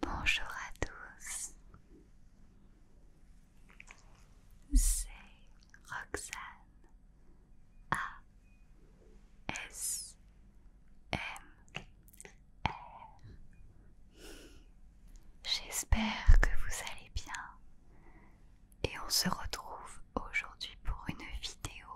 Bonjour à tous, c'est Roxane A J'espère que vous allez bien et on se retrouve aujourd'hui pour une vidéo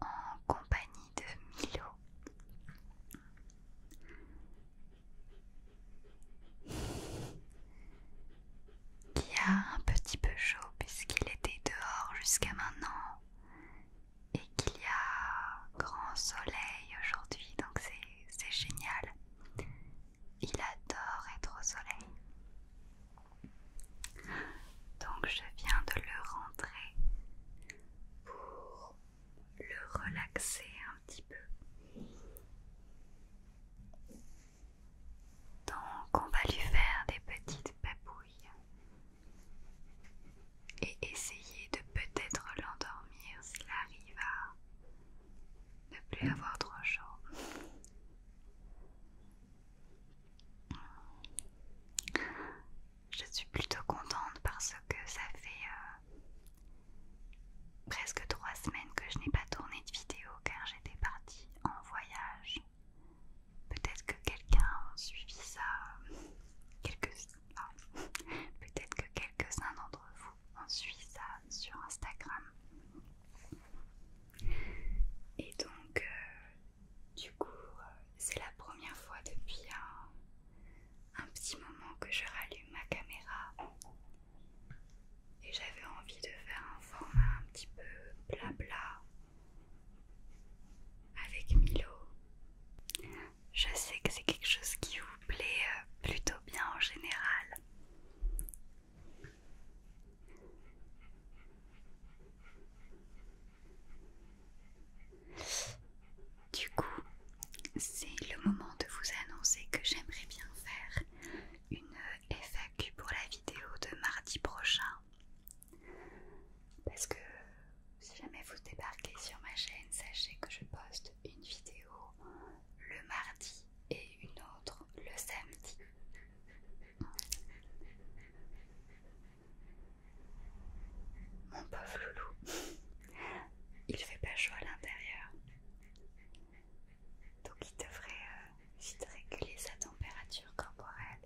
en compagnie de Milo. Qui a un petit peu chaud puisqu'il était dehors jusqu'à maintenant et qu'il y a grand soleil aujourd'hui donc c'est génial il adore être au soleil. Donc je viens de le rentrer pour le relaxer un petit peu. Donc on va lui faire des petites papouilles et essayer de peut-être l'endormir s'il arrive à ne plus avoir trop chaud. Je suis plutôt contente parce que ça fait euh, presque trois semaines que je n'ai pas tourné de vidéo car j'étais partie en voyage. Peut-être que quelqu'un a suivi ça, euh, ah, peut-être que quelques-uns d'entre vous en Suisse ça sur Instagram. Et donc, euh, du coup, euh, c'est la première fois depuis un petit moment que je rallume ma caméra. Et j'avais envie de faire un format un petit peu blabla avec Milo. Je sais que c'est quelque chose qui vous plaît euh, plutôt bien en général. Du coup, c'est le moment de vous annoncer que j'aimerais bien faire une FAQ pour la vidéo de mardi prochain. Parce que si jamais vous débarquez sur ma chaîne, sachez que je poste une vidéo le mardi et une autre le samedi. Mon pauvre loulou, il fait pas chaud à l'intérieur. Donc il devrait euh, vite réguler sa température corporelle.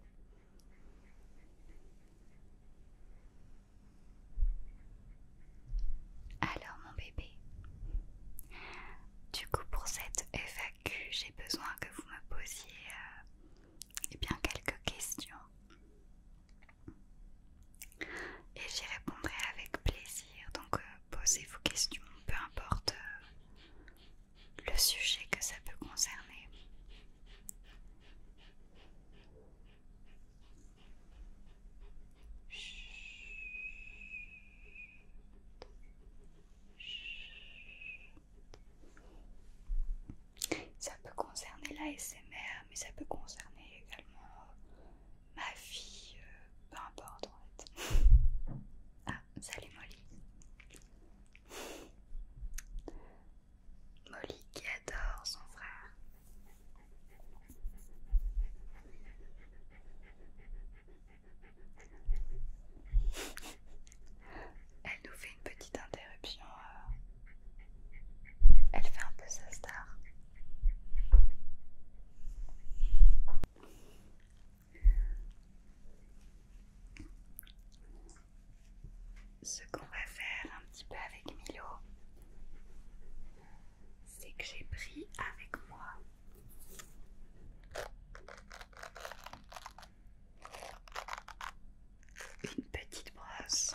Alors mon bébé, du coup pour cette FAQ, j'ai besoin que vous me posiez euh, eh bien, quelques questions. Et j'y répondrai avec plaisir, donc euh, posez vos questions, peu importe euh, le sujet que ça peut concerner. Ça peut concerner la SMR, mais ça peut concerner également ma fille, euh, peu importe en fait. Ah, salut Molly. Molly qui adore son frère. Elle nous fait une petite interruption. Euh. Elle fait un peu sa star. Ce qu'on va faire un petit peu avec Milo, c'est que j'ai pris avec moi une petite brosse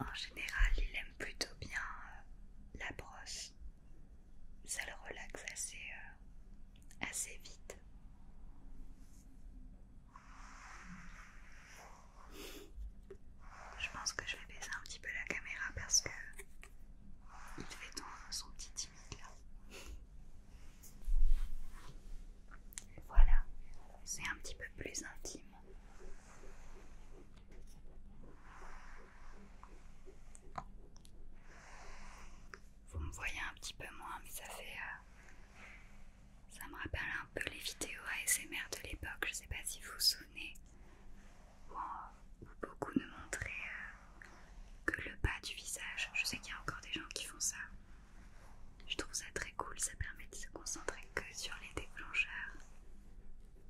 En général, il aime plutôt bien euh, la brosse ça le relaxe assez, euh, assez vite. Je pense que je vais baisser un petit peu la caméra parce que il fait son petit timide là. Voilà, c'est un petit peu plus intime. Vous me voyez un petit peu moins, mais ça fait. Euh, ça me rappelle un peu les vidéos ASMR de l'époque. Je sais pas si vous vous souvenez, où, euh, beaucoup ne montraient euh, que le bas du visage. Je sais qu'il y a encore des gens qui font ça. Je trouve ça très cool, ça permet de se concentrer que sur les déclencheurs.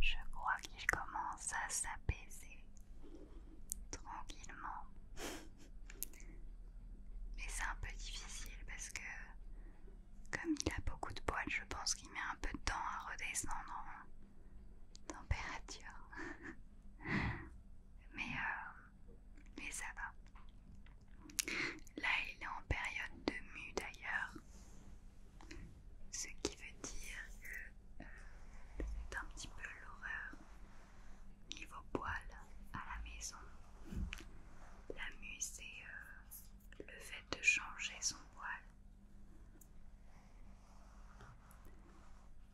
Je crois qu'il commence à s'apaiser tranquillement. Mais c'est un peu difficile parce que comme il a beaucoup de poils, je pense qu'il met un peu de temps à redescendre en température. mais, euh, mais ça va. Là, il est en période de mue d'ailleurs ce qui veut dire que euh, c'est un petit peu l'horreur niveau poil à la maison. La euh, le fait de changer son poil.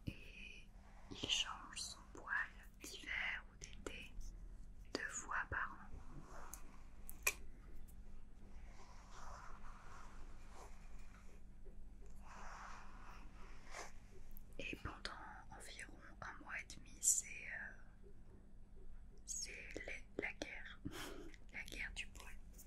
Et il change son poil d'hiver ou d'été deux fois par an. Et pendant environ un mois et demi, c'est euh, la guerre, la guerre du poète,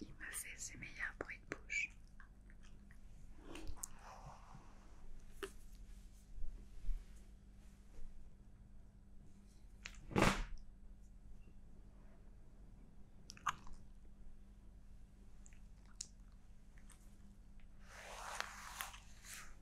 Il me fait ses meilleurs bruits de bouche.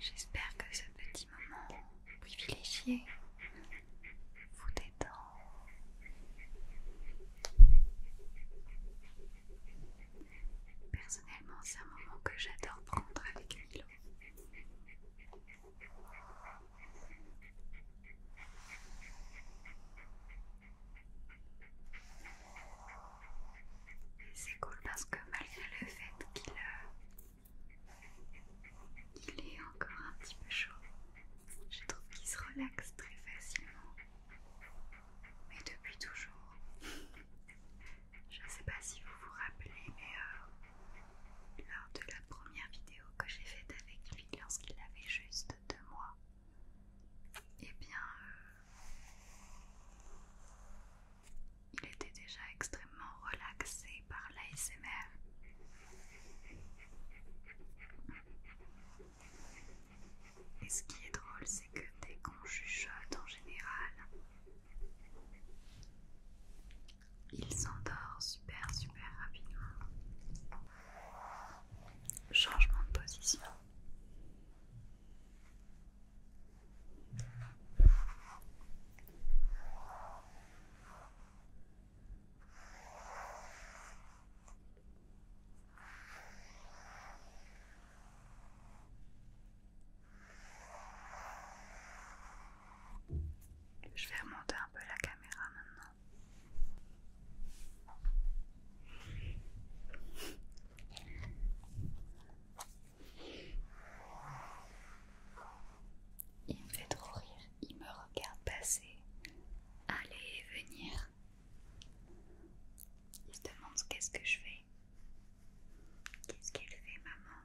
J'espère que ce petit moment privilégié vous détend. Personnellement, c'est un moment que j'adore prendre avec Milo. C'est cool parce que malgré le fait euh, qu'il est encore un petit peu chaud, je trouve qu'il se relaxe très facilement. Mais depuis toujours, je ne sais pas si vous vous rappelez, mais euh, lors de la première vidéo que j'ai faite avec lui lorsqu'il avait juste deux mois, eh bien, euh, il était déjà extrêmement relaxé par l'ASMR. Et ce qui est drôle, c'est que dès qu'on chuchote en général, il s'endort super super rapidement. Changement de position. Je vais remonter un peu la caméra maintenant. Il me fait trop rire, il me regarde passer, aller et venir. Il se demande qu'est-ce que je fais. Qu'est-ce qu'elle fait, maman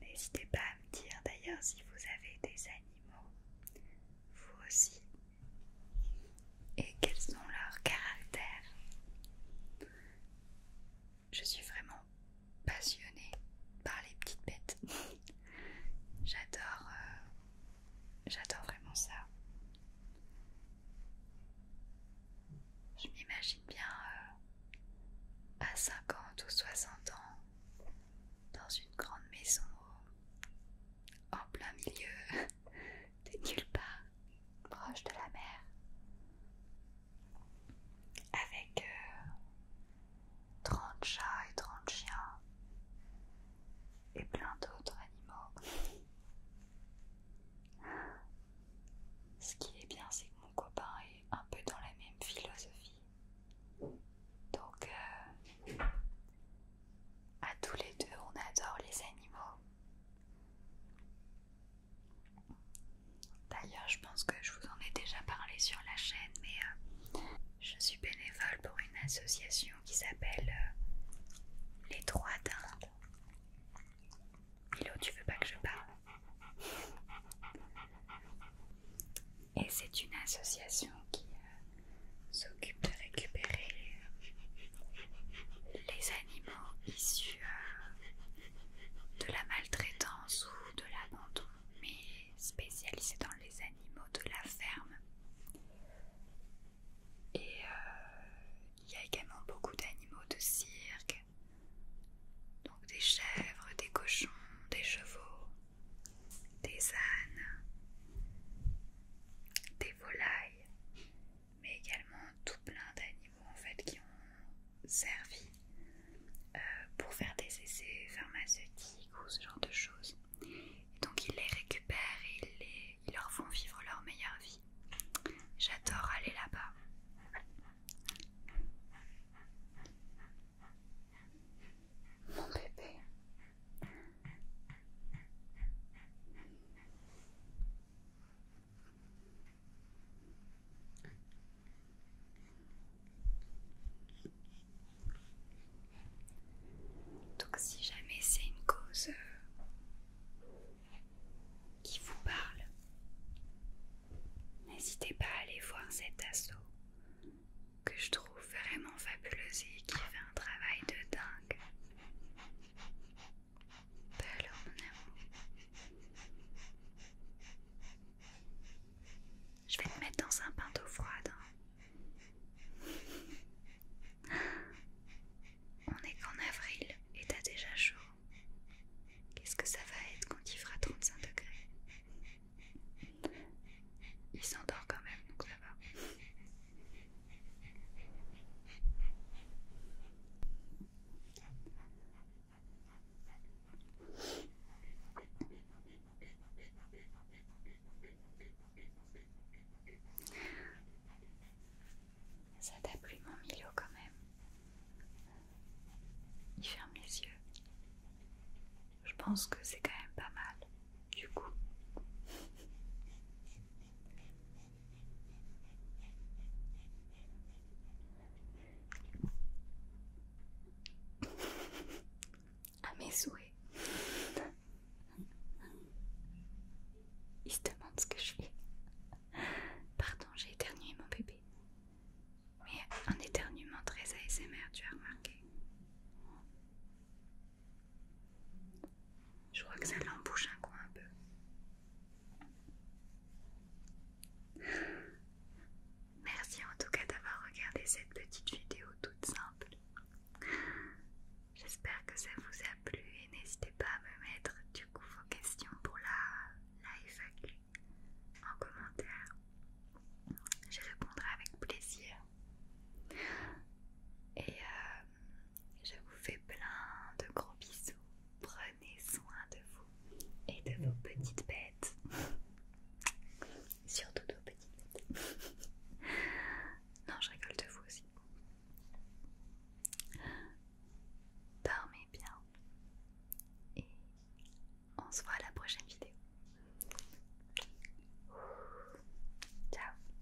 N'hésitez pas à me dire d'ailleurs si vous avez des animaux, vous aussi, et quels sont leurs caractères. Je suis vraiment passionnée par les petites bêtes. J'adore, euh, j'adore vraiment ça. Je m'imagine bien euh, à 50 ou 60 ans dans une grande maison en plein milieu de nulle part, proche de la mer, avec euh, 30 chats et 30 chiens et plein d'autres animaux. Ce qui est bien, c'est que mon copain est un peu dans la même philosophie. Donc, euh, à tous les deux, on adore les animaux. D'ailleurs, je pense que je vous en ai déjà parlé sur la chaîne, mais euh, je suis bénévole pour une association qui s'appelle euh, Les Trois d'Inde. Milo, tu veux pas que je parle Et c'est une association qui euh, s'occupe de récupérer les animaux issus euh, de la maltraitance ou de l'abandon mais spécialisé dans les animaux de la ferme. Et euh, il y a également beaucoup d'animaux de cirque, donc des chèvres, des cochons, des chevaux, des ânes, des volailles, mais également tout plein d'animaux en fait qui ont servi euh, pour faire des essais pharmaceutiques ou ce genre de choses. donc ils les récupèrent et ils leur font vivre leur meilleure vie. J'adore aller là-bas. Mon bébé. Donc si jamais c'est une cause euh, qui vous parle, n'hésitez pas à aller voir cet assaut que je trouve vraiment fabuleuse et qui fait un travail de dingue. Je vais me mettre dans un bain d'eau froide. Hein. On est qu'en avril et t'as déjà chaud. Qu'est-ce que ça va être quand il fera 35 degrés Il s'endort quand même, donc ça va. Ça t'a plu mon milieu quand même. Il ferme les yeux. Je pense que c'est quand même pas mal. Du coup à mes souhaits. Il se demande ce que je fais. Pardon, j'ai éternué mon bébé. Mais un éternuement très ASMR, tu as remarqué. Je crois que ça l'embouche un coin un peu. Merci en tout cas d'avoir regardé cette petite vidéo toute simple. J'espère que ça vous a plu et n'hésitez pas à me mettre du coup vos questions pour la, live FAQ en commentaire. Je répondrai avec plaisir. Et euh, je vous fais plein de gros bisous. Prenez soin de vous et de vos petites bêtes. Surtout de vos petites bêtes. non, je rigole de vous aussi. Dormez bien. Et on se voit à la prochaine vidéo. Ciao.